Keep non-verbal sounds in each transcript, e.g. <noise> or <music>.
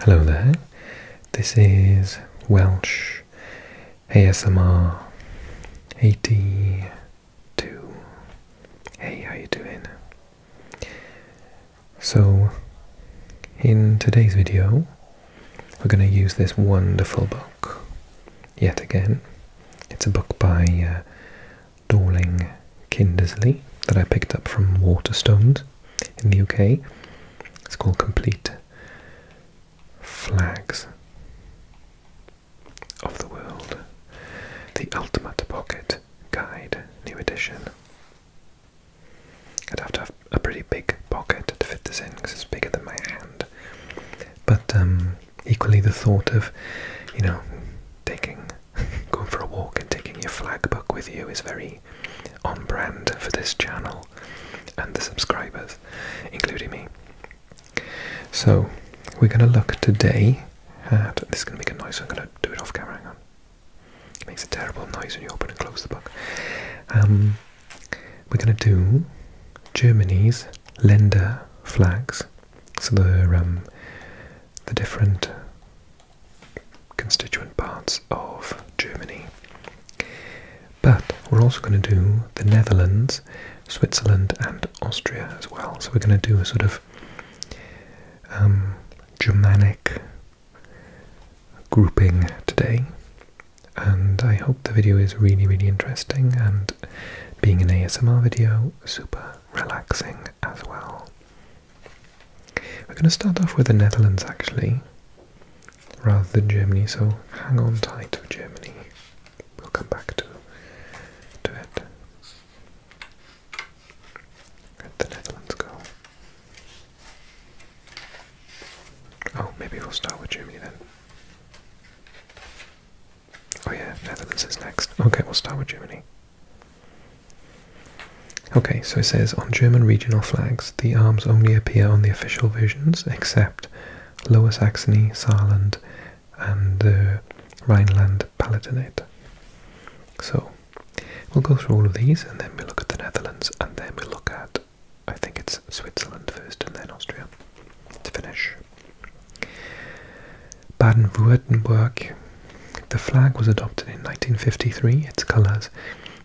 Hello there, this is Welsh ASMR 82. Hey, how you doing? So, in today's video, we're going to use this wonderful book, yet again. It's a book by uh, Dorling Kindersley that I picked up from Waterstones in the UK. It's called Complete Flags of the World, the Ultimate Pocket Guide, new edition. I'd have to have a pretty big pocket to fit this in because it's bigger than my hand. But um, equally, the thought of, you know, taking <laughs> going for a walk and taking your flag book with you is very on brand for this channel and the subscribers, including me. So, we're going to look today at. This is going to make a noise, I'm going to do it off camera. It makes a terrible noise when you open and close the book. Um, we're going to do Germany's lender flags. So, the, um, the different constituent parts of Germany. But we're also going to do the Netherlands, Switzerland, and Austria as well. So we're going to do a sort of um, Germanic grouping today. And I hope the video is really, really interesting and being an ASMR video, super relaxing as well. We're going to start off with the Netherlands actually, rather than Germany, so hang on tight for Germany. We'll come back to, to it. where the Netherlands go? Oh, maybe we'll start with Germany then. Oh yeah, Netherlands is next. Okay, we'll start with Germany. Okay, so it says on German regional flags, the arms only appear on the official versions, except Lower Saxony, Saarland, and Rhineland Palatinate. So we'll go through all of these, and then we look at the Netherlands, and then we look at, I think it's Switzerland first, and then Austria to finish. Baden-Württemberg the flag was adopted in 1953. Its colours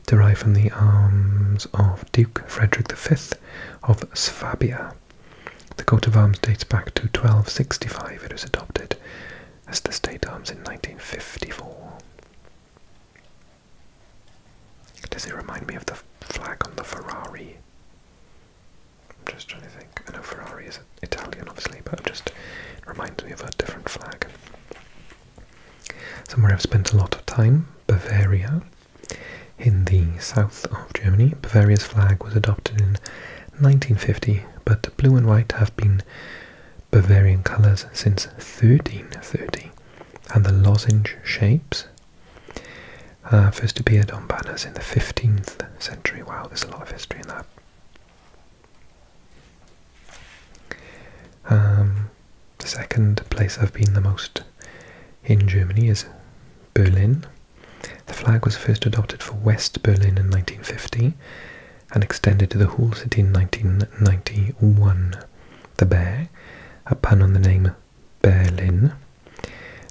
derive from the arms of Duke Frederick V of Swabia. The coat of arms dates back to 1265. It was adopted as the state arms in 1954. Does it remind me of the flag on the Ferrari? I'm just trying to think. I know Ferrari is Italian, obviously, but just reminds me of a different flag. Somewhere I've spent a lot of time, Bavaria. In the south of Germany, Bavaria's flag was adopted in 1950, but blue and white have been Bavarian colours since 1330, and the lozenge shapes uh, first appeared on banners in the 15th century. Wow, there's a lot of history in that. Um, the second place I've been the most in Germany is Berlin. The flag was first adopted for West Berlin in 1950 and extended to the whole city in 1991. The bear, a pun on the name Berlin,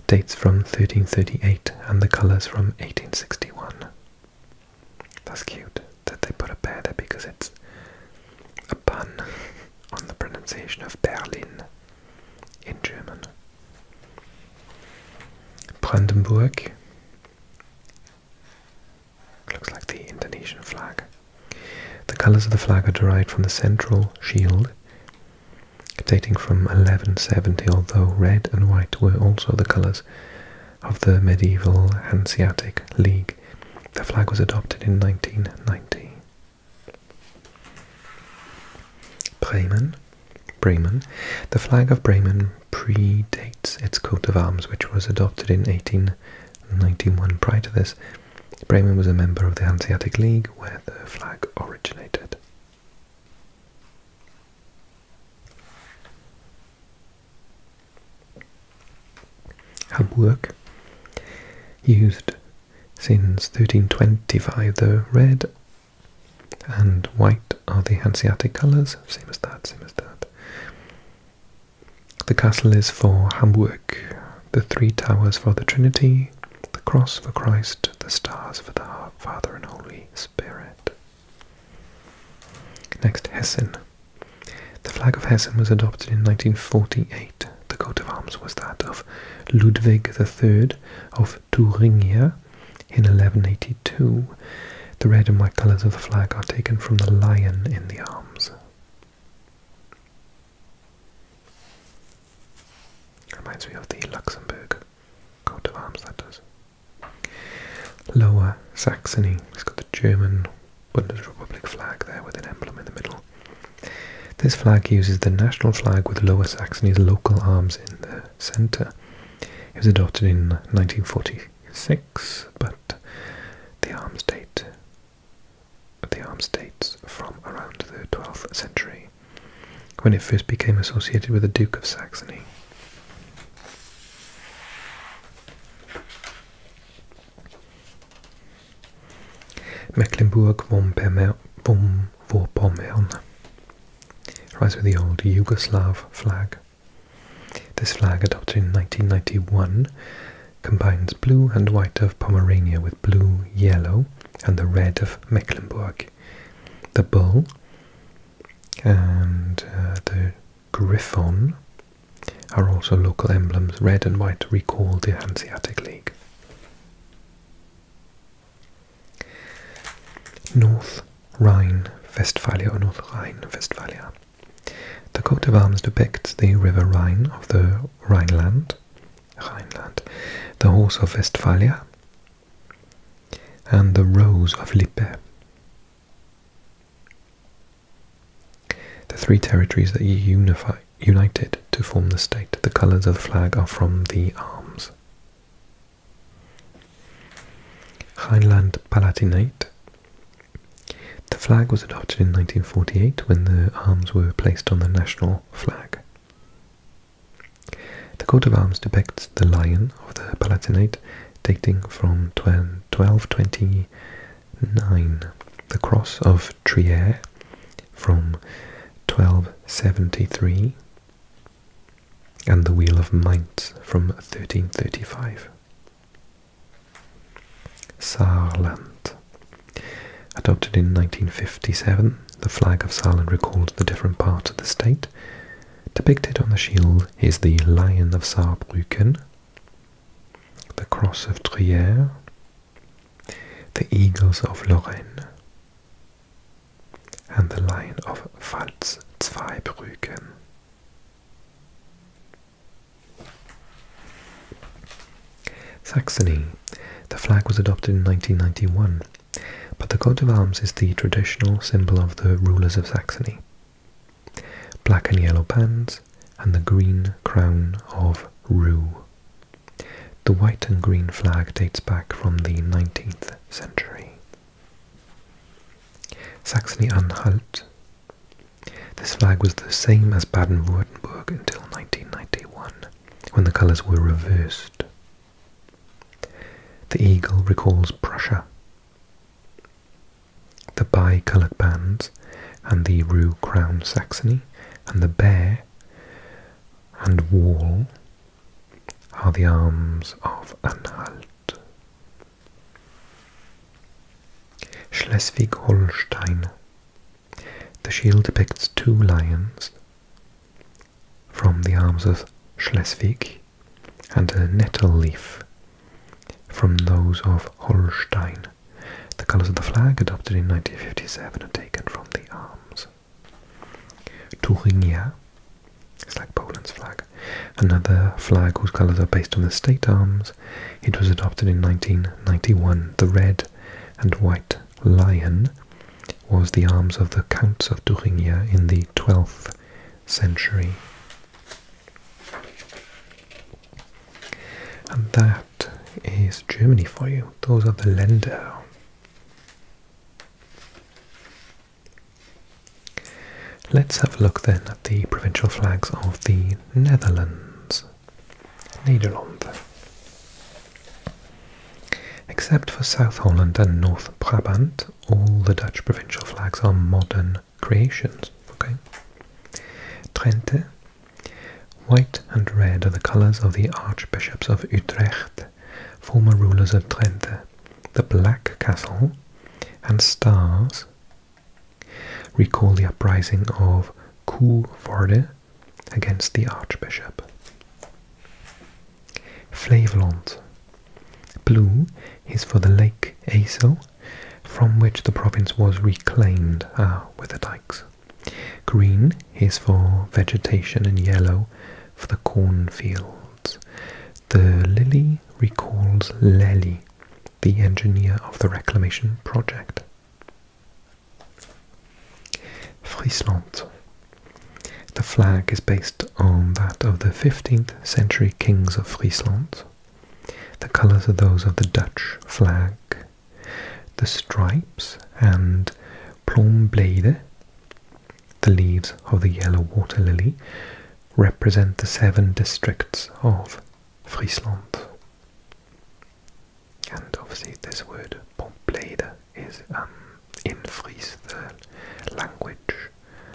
dates from 1338 and the colours from 1861. That's cute that they put a bear there because it's a pun on the pronunciation of Berlin in German. Brandenburg looks like the Indonesian flag. The colors of the flag are derived from the central shield, dating from 1170, although red and white were also the colors of the medieval Hanseatic League. The flag was adopted in 1990. Bremen, Bremen. The flag of Bremen predates its coat of arms, which was adopted in 1891. Prior to this, Bremen was a member of the Hanseatic League, where the flag originated. Hamburg used since 1325 the red and white are the Hanseatic colours, same as that, same as that. The castle is for Hamburg, the three towers for the Trinity, the cross for Christ, the stars for the Father and Holy Spirit. Next, Hessen. The flag of Hessen was adopted in 1948. The coat of arms was that of Ludwig III of Thuringia in 1182. The red and white colours of the flag are taken from the lion in the arms. Reminds me of the Luxembourg coat of arms, that does. Lower Saxony, it's got the German Bundesrepublik flag there with an emblem in the middle. This flag uses the national flag with Lower Saxony's local arms in the centre. It was adopted in 1946, but the arms date the arms dates from around the 12th century, when it first became associated with the Duke of Saxony. Mecklenburg Vorpommern rises with the old Yugoslav flag. This flag, adopted in 1991, combines blue and white of Pomerania with blue, yellow, and the red of Mecklenburg. The bull, and uh, the griffon are also local emblems. Red and white recall the Hanseatic League. North Rhine-Westphalia or North Rhine-Westphalia. The coat of arms depicts the river Rhine of the Rhineland, Rhineland, the horse of Westphalia, and the Rose of Lippe. The three territories that unify, united to form the state, the colours of the flag are from the arms. Rhineland Palatinate. The flag was adopted in 1948 when the arms were placed on the national flag. The coat of arms depicts the lion of the Palatinate dating from 1229, the cross of Trier from 1273, and the wheel of Mainz from 1335. Saarland. Adopted in 1957, the flag of Saarland recalls the different parts of the state Depicted on the shield is the Lion of Saarbrücken, the Cross of Trier, the Eagles of Lorraine, and the Lion of Pfalz-Zweibrücken. Saxony. The flag was adopted in 1991 but the coat of arms is the traditional symbol of the rulers of Saxony. Black and yellow bands and the green crown of Rue. The white and green flag dates back from the 19th century. Saxony-Anhalt. This flag was the same as Baden-Württemberg until 1991, when the colours were reversed. The eagle recalls Prussia. The bi-colored bands and the rue crown Saxony and the bear and wall are the arms of Anhalt. Schleswig-Holstein. The shield depicts two lions, from the arms of Schleswig and a nettle leaf from those of Holstein. The colours of the flag adopted in 1957 are taken from the arms. Thuringia is like Poland's flag, another flag whose colours are based on the state arms. It was adopted in 1991. The red and white lion was the arms of the Counts of Thuringia in the 12th century. And that is Germany for you. Those are the Länder. Let's have a look then at the provincial flags of the Netherlands. Nederland. Except for South Holland and North Brabant, all the Dutch provincial flags are modern creations. Okay. Trente. White and red are the colours of the Archbishops of Utrecht, former rulers of Trente. The black castle and stars recall the uprising of Koevoorde against the Archbishop. Flevoland. Blue is for the Lake Aso, from which the province was reclaimed uh, with the dikes. Green is for vegetation and yellow for the cornfields. The lily recalls Lely, the engineer of the reclamation project. Frisland. The flag is based on that of the 15th century kings of Friesland. The colours are those of the Dutch flag. The stripes and plomblade, the leaves of the yellow water lily, represent the seven districts of Friesland. And obviously, this word, pomplade, is um, in Fries, the language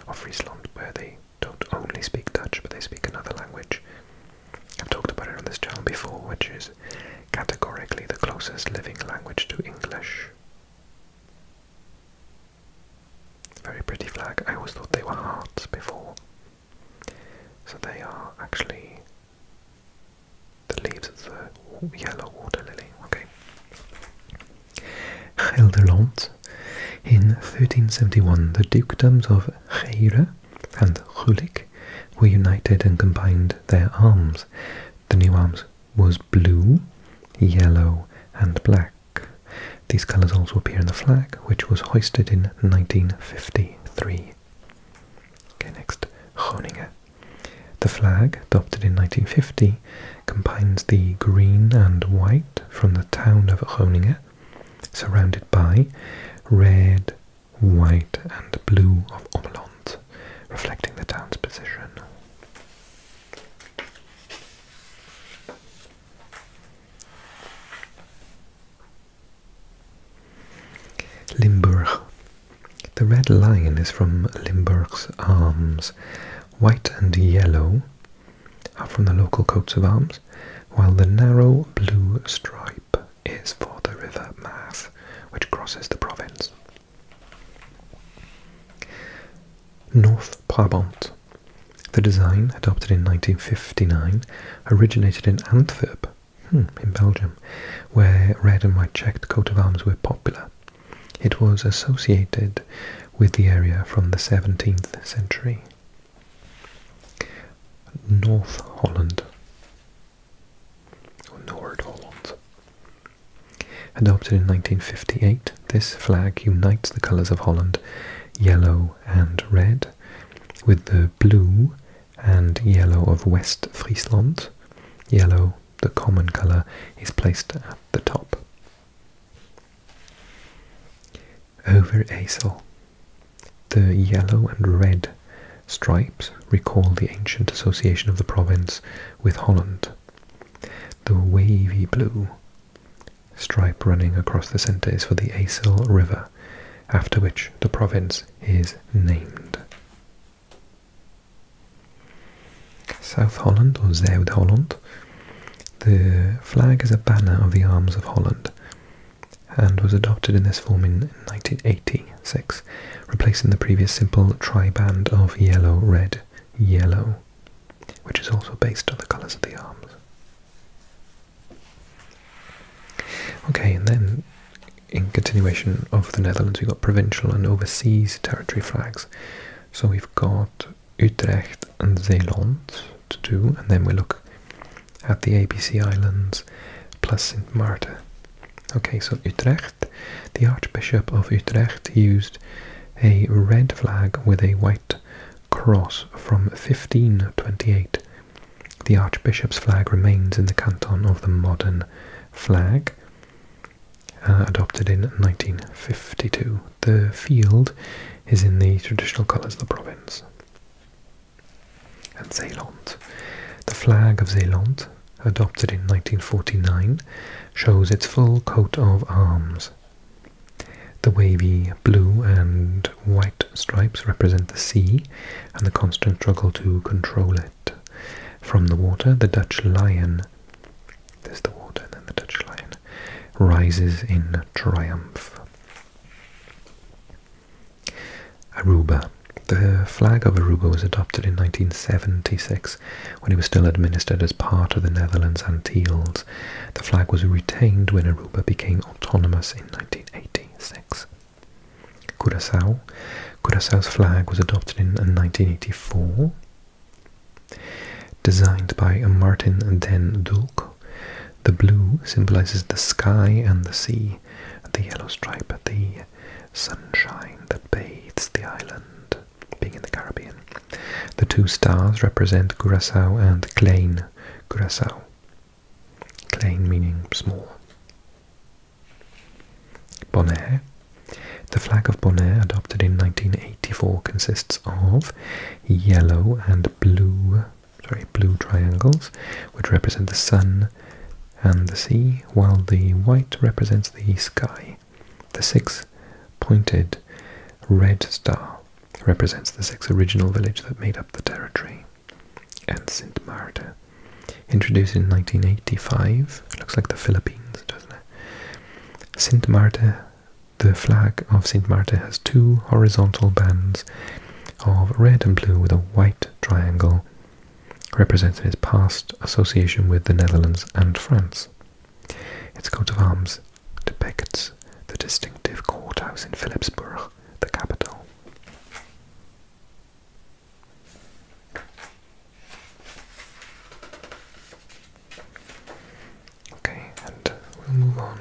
of Friesland, where they don't only speak Dutch, but they speak another language. I've talked about it on this channel before, which is categorically the closest living language to English. Very pretty flag. I always thought they were hearts before. So they are actually the leaves of the yellow water lily. Okay. Gelderland. In 1371, the dukedoms of Geire and Gulik were united and combined their arms. The new arms was blue, yellow, and black. These colours also appear in the flag, which was hoisted in 1953. Okay, next, Groningen. The flag, adopted in 1950, combines the green and white from the town of Groningen, surrounded by red, white and blue of Ommeland, reflecting the town's position. Limburg. The red lion is from Limburg's arms, white and yellow are from the local coats of arms, while the narrow blue stripe is for the river Maas, which crosses the province. North Brabant. The design, adopted in 1959, originated in Antwerp, hmm, in Belgium, where red and white checked coats of arms were popular it was associated with the area from the 17th century. North Holland or Noord Holland. Adopted in 1958, this flag unites the colours of Holland, yellow and red, with the blue and yellow of West Friesland, yellow the common colour, is placed at the top. Over Acel. The yellow and red stripes recall the ancient association of the province with Holland. The wavy blue stripe running across the centre is for the Acel River, after which the province is named. South Holland or Zuid Holland. The flag is a banner of the arms of Holland and was adopted in this form in 1986, replacing the previous simple triband of yellow, red, yellow, which is also based on the colours of the arms. Okay, and then in continuation of the Netherlands, we've got provincial and overseas territory flags. So we've got Utrecht and Zeeland to do, and then we look at the ABC Islands plus St. Martin. Okay, so Utrecht, the Archbishop of Utrecht used a red flag with a white cross from 1528. The Archbishop's flag remains in the canton of the modern flag. Uh, adopted in 1952. The field is in the traditional colours of the province. And Zeeland, The flag of Zeeland, adopted in 1949, shows its full coat of arms. The wavy blue and white stripes represent the sea and the constant struggle to control it. From the water, the Dutch lion there's the water and then the Dutch lion, rises in triumph. Aruba. The flag of Aruba was adopted in 1976 when it was still administered as part of the Netherlands Antilles. The flag was retained when Aruba became autonomous in 1986. Curaçao. Curaçao's flag was adopted in 1984. Designed by Martin den Dulk, the blue symbolizes the sky and the sea, the yellow stripe, the sunshine that bathes the island, being in the Caribbean. The two stars represent Curaçao and Klein, Curaçao. Klein meaning small. Bonaire. The flag of Bonaire, adopted in 1984, consists of yellow and blue, sorry, blue triangles, which represent the sun and the sea, while the white represents the sky. The six-pointed red star represents the six original villages that made up the territory, and Saint Maarten Introduced in 1985, looks like the Philippines, doesn't it? Saint Marta, the flag of Saint Marta has two horizontal bands of red and blue with a white triangle representing its past association with the Netherlands and France. Its coat of arms depicts the distinctive courthouse in Philipsburg, the capital. Okay, and we'll move on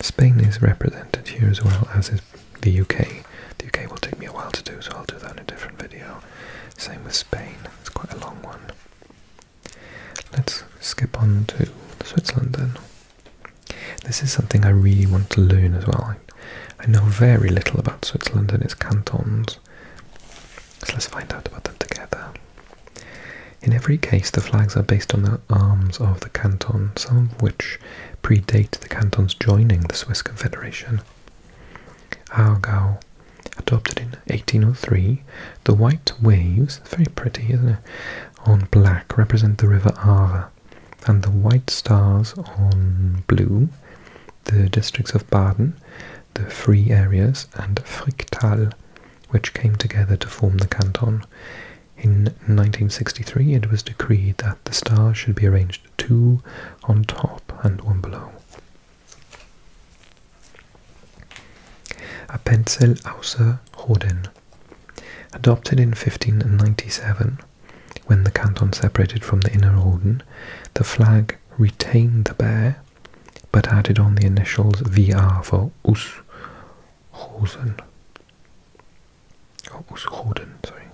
Spain is represented here as well as is the UK. The UK will take me a while to do, so I'll do that in a different video. Same with Spain, it's quite a long one. Let's skip on to Switzerland then. This is something I really want to learn as well. I know very little about Switzerland and its cantons, so let's find out about them together. In every case, the flags are based on the arms of the cantons, some of which predate the canton's joining the Swiss Confederation. Aargau, adopted in 1803, the white waves, very pretty, on black represent the river Aare, and the white stars on blue the districts of Baden, the Free Areas, and Fricktal, which came together to form the canton. In 1963, it was decreed that the stars should be arranged two on top and one below. A pencil Appenzell Außerrhoden. Adopted in 1597, when the canton separated from the Inner Orden, the flag retained the bear but added on the initials VR for Ushosen. Oh, Ushorden, sorry.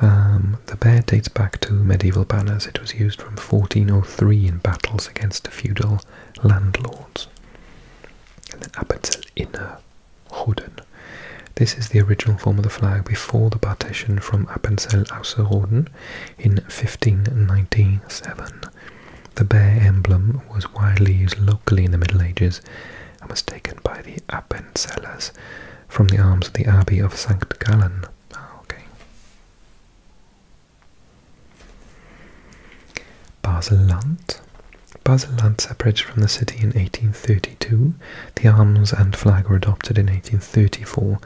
Um, the bear dates back to medieval banners. It was used from 1403 in battles against feudal landlords. And then Appenzell Inner Roden. This is the original form of the flag before the partition from Appenzell Ausserrhoden in 1597. The bear emblem was widely used locally in the Middle Ages and was taken by the Appenzellers from the arms of the Abbey of St. Gallen. Oh, okay. Baseland. Baseland separated from the city in 1832 the arms and flag were adopted in 1834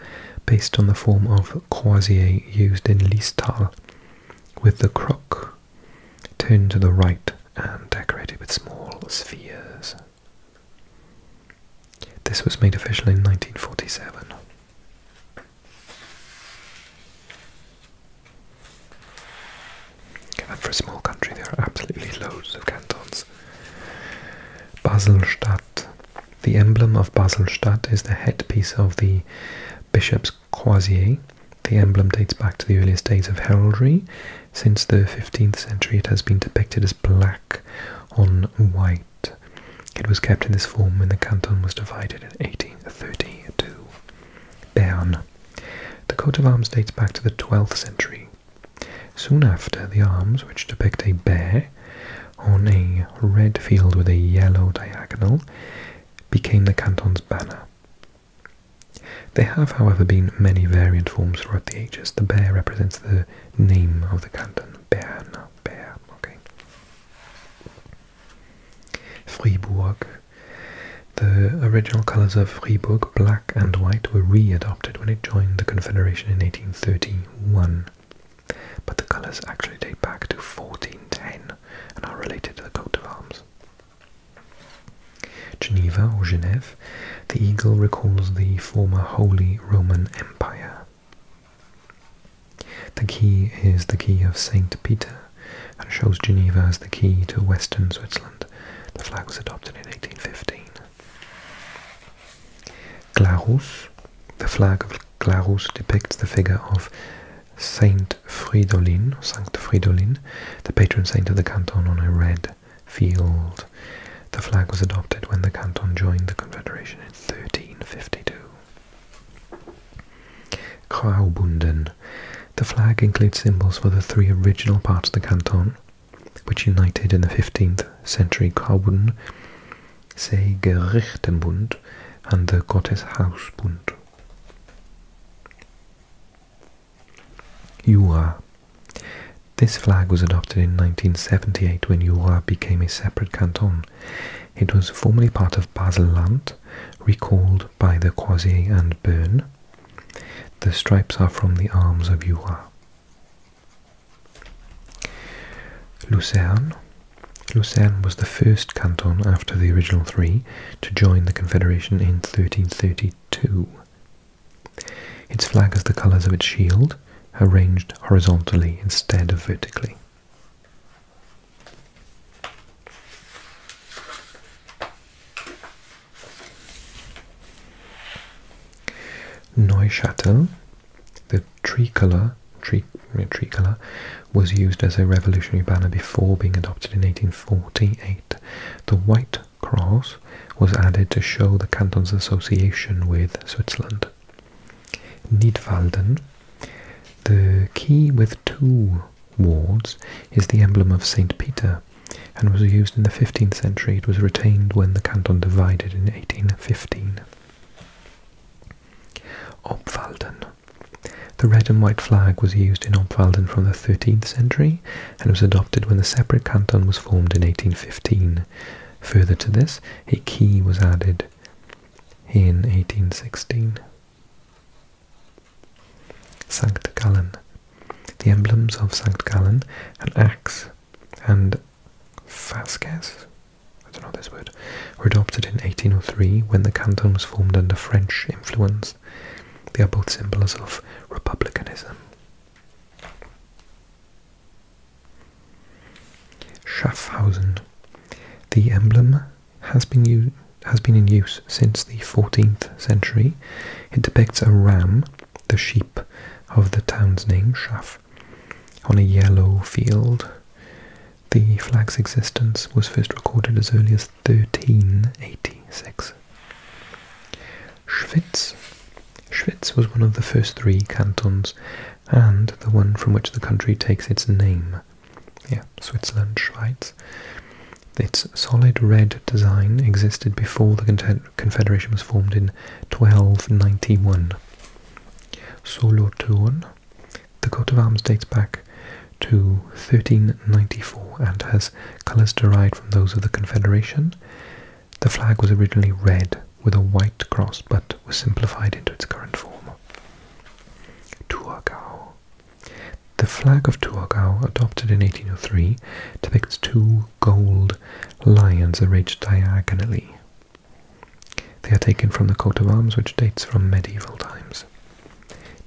based on the form of croisier used in Listal, with the crook turned to the right and decorated with small spheres. This was made official in 1947. And for a small country, there are absolutely loads of cantons. Baselstadt. The emblem of Baselstadt is the headpiece of the bishop's croisier. The emblem dates back to the earliest days of heraldry. Since the 15th century, it has been depicted as black on white. It was kept in this form when the canton was divided in 1832. Bern. The coat of arms dates back to the 12th century. Soon after, the arms, which depict a bear on a red field with a yellow diagonal, became the canton's banner. There have, however, been many variant forms throughout the ages. The bear represents the name of the canton, Bern, Bear, okay. Fribourg. The original colours of Fribourg, black and white, were readopted when it joined the Confederation in 1831, but the colours actually date back to 1410 and are related to the coat of arms. Geneva or Genève, the eagle recalls the former Holy Roman Empire. The key is the key of St. Peter and shows Geneva as the key to western Switzerland. The flag was adopted in 1815. Glarus. The flag of Glarus depicts the figure of Saint Fridolin, the patron saint of the canton on a red field. The flag was adopted when the canton joined the Confederation in 1352. Graubünden. The flag includes symbols for the three original parts of the canton, which united in the 15th century Graubünden, Seegerichtenbund, and the Gotteshausbund. Jura. This flag was adopted in 1978 when Jura became a separate canton. It was formerly part of Basel-Land, recalled by the Croisset and Bern, the stripes are from the arms of Jura. Lucerne. Lucerne was the first canton after the original three to join the Confederation in 1332. Its flag has the colours of its shield, arranged horizontally instead of vertically. Neuchâtel, the tricolor, tri tricolor, was used as a revolutionary banner before being adopted in 1848. The white cross was added to show the canton's association with Switzerland. Nidwalden, the key with two wards, is the emblem of St. Peter, and was used in the 15th century. It was retained when the canton divided in 1815. Obwalden. The red and white flag was used in Obwalden from the 13th century and was adopted when the separate canton was formed in 1815. Further to this, a key was added in 1816. Sankt Gallen. The emblems of St. Gallen, an axe, and fasces, I don't know this word, were adopted in 1803 when the canton was formed under French influence. They are both symbols of republicanism. Schaffhausen. The emblem has been, has been in use since the 14th century. It depicts a ram the sheep of the town's name, Schaff, on a yellow field. The flag's existence was first recorded as early as 1386. Schwyz. Schwyz was one of the first three cantons and the one from which the country takes its name. Yeah, Switzerland, Schweiz. Its solid red design existed before the Confederation was formed in 1291. Solothurn. The coat of arms dates back to 1394 and has colours derived from those of the Confederation. The flag was originally red with a white cross but was simplified into its current form. Tuagao. The flag of Tuargao, adopted in 1803, depicts two gold lions arranged diagonally. They are taken from the coat of arms, which dates from medieval times.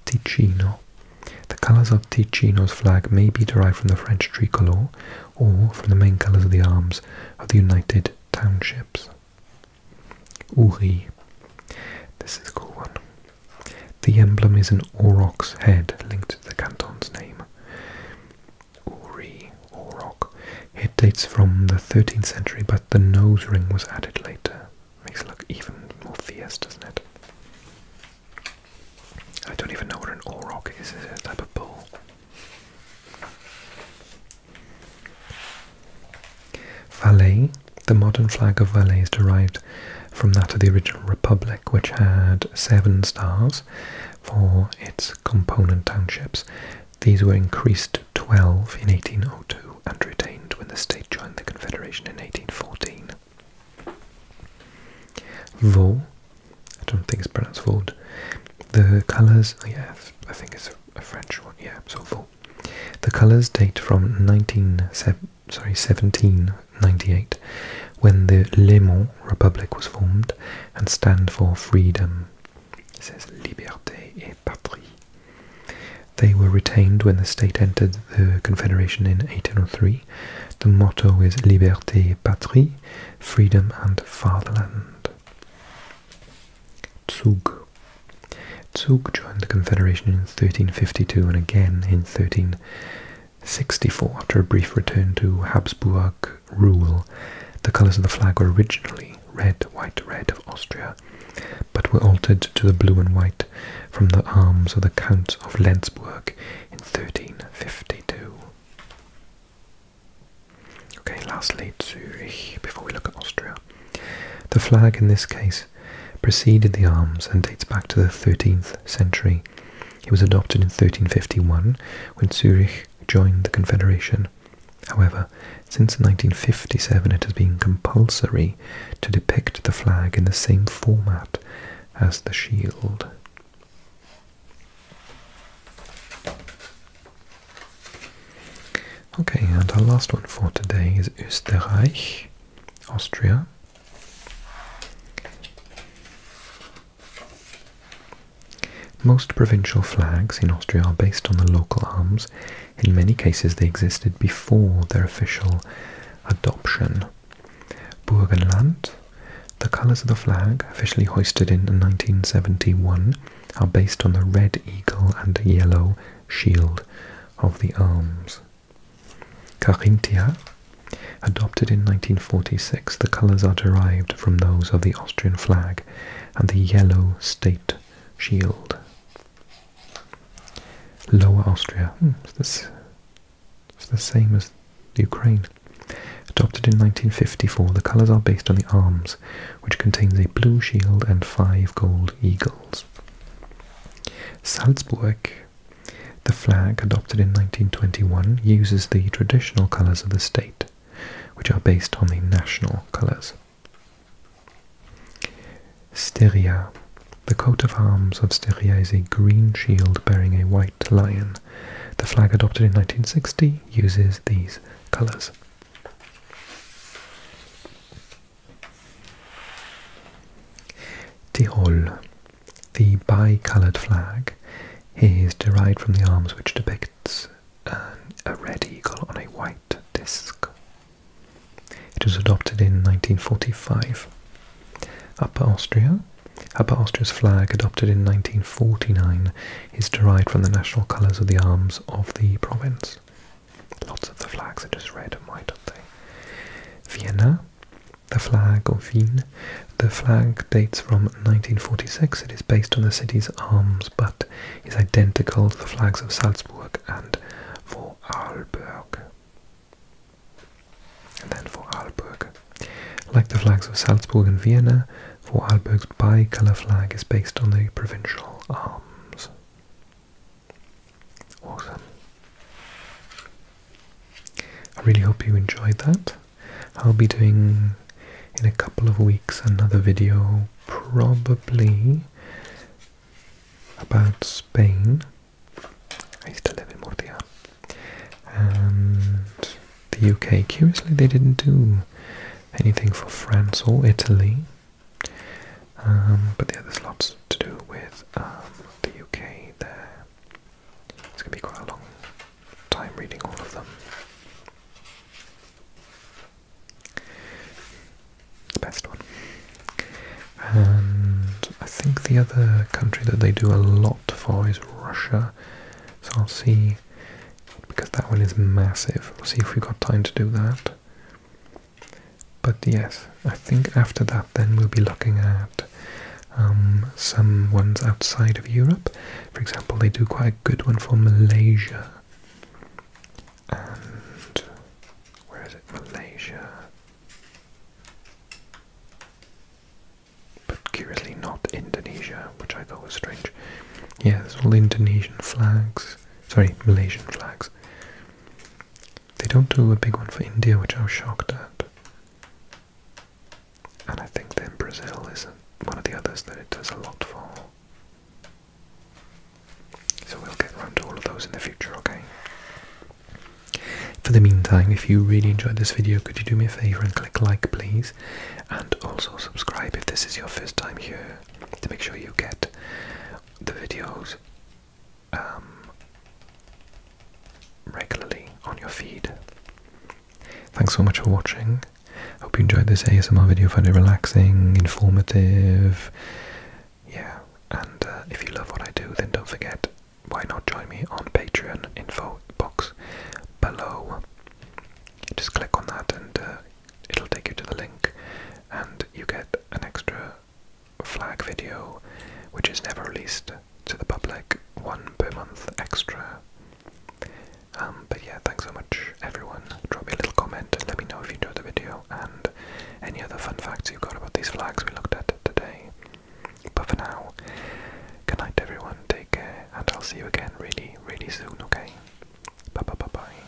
Ticino. The colours of Ticino's flag may be derived from the French tricolour or from the main colours of the arms of the United Townships. Uri. This is a cool one. The emblem is an aurochs head linked to the canton's name. Ori, auroch. It dates from the 13th century, but the nose ring was added later. Makes it look even more fierce, doesn't it? I don't even know what an auroch is. Is it a type of bull? Valais. The modern flag of Valais is derived from that of the original Republic, which had seven stars for its component townships. These were increased to 12 in 1802 and retained when the state joined the Confederation in 1814. Vaud, I don't think it's pronounced Vaud. The colours, oh yeah, I think it's a French one, yeah, so Vaud. The colours date from 19, sorry, 1798, when the Léman Republic was formed and stand for freedom. It says Liberté et Patrie. They were retained when the state entered the Confederation in 1803. The motto is Liberté et Patrie, freedom and fatherland. Zug. Zug joined the Confederation in 1352 and again in 13. 64, after a brief return to Habsburg rule, the colours of the flag were originally red, white, red of Austria, but were altered to the blue and white from the arms of the Count of Lenzburg in 1352. Okay, lastly, Zurich, before we look at Austria. The flag in this case preceded the arms and dates back to the 13th century he was adopted in 1351 when Zurich joined the Confederation. However, since 1957 it has been compulsory to depict the flag in the same format as the shield. Okay, and our last one for today is Österreich, Austria. Most provincial flags in Austria are based on the local arms. In many cases, they existed before their official adoption. Burgenland, the colours of the flag, officially hoisted in 1971, are based on the red eagle and yellow shield of the arms. Carinthia. Adopted in 1946, the colors are derived from those of the Austrian flag and the yellow state shield. Lower Austria. Hmm, it's the same as Ukraine. Adopted in 1954, the colors are based on the arms, which contains a blue shield and five gold eagles. Salzburg the flag, adopted in 1921, uses the traditional colours of the state, which are based on the national colours. Styria. The coat of arms of Styria is a green shield bearing a white lion. The flag adopted in 1960 uses these colours. Tyrol. The bi-coloured flag is derived from the arms which depicts um, a red eagle on a white disc. It was adopted in 1945. Upper Austria. Upper Austria's flag, adopted in 1949, is derived from the national colours of the arms of the province. Lots of the flags are just red and white, aren't they? Vienna. The flag of Wien. The flag dates from 1946. It is based on the city's arms, but is identical to the flags of Salzburg and Vorarlberg. And then Vorarlberg. Like the flags of Salzburg and Vienna, Vorarlberg's bicolor flag is based on the provincial arms. Awesome. I really hope you enjoyed that. I'll be doing in a couple of weeks another video, probably about Spain. I used to live in Murcia. And the UK. Curiously, they didn't do anything for France or Italy. Um, but yeah, there's slots to do with um, the UK there. It's going to be quite a long time reading all of them. The best one. And I think the other country that they do a lot for is Russia. So I'll see, because that one is massive, we'll see if we've got time to do that. But yes, I think after that, then we'll be looking at um, some ones outside of Europe. For example, they do quite a good one for Malaysia. And where is it? Malaysia. But curiously, not Indonesia, which I thought was strange. Yes, it's all Indonesian flags. Sorry, Malaysian flags. They don't do a big one for India, which I was shocked at. And I think then Brazil is one of the others that it does a lot for. So we'll get around to all of those in the future, okay? For the meantime, if you really enjoyed this video, could you do me a favour and click like, please? And also subscribe if this is your first time here, to make sure you get the videos um, regularly on your feed. Thanks so much for watching. Hope you enjoyed this ASMR video, found it relaxing, informative. Yeah, and uh, if you love what I do, then don't forget why not join me on Patreon info box below. Just click on that and uh, it'll take you to the link, and you get an extra flag video, which is never released to the public, one per month extra. Um, but yeah, thanks so much, everyone. Drop me a little comment and let me know if you enjoyed the video and any other fun facts you got about these flags we looked at today. But for now, good night, everyone. Take care, and I'll see you again really, really soon, okay? Bye bye bye bye.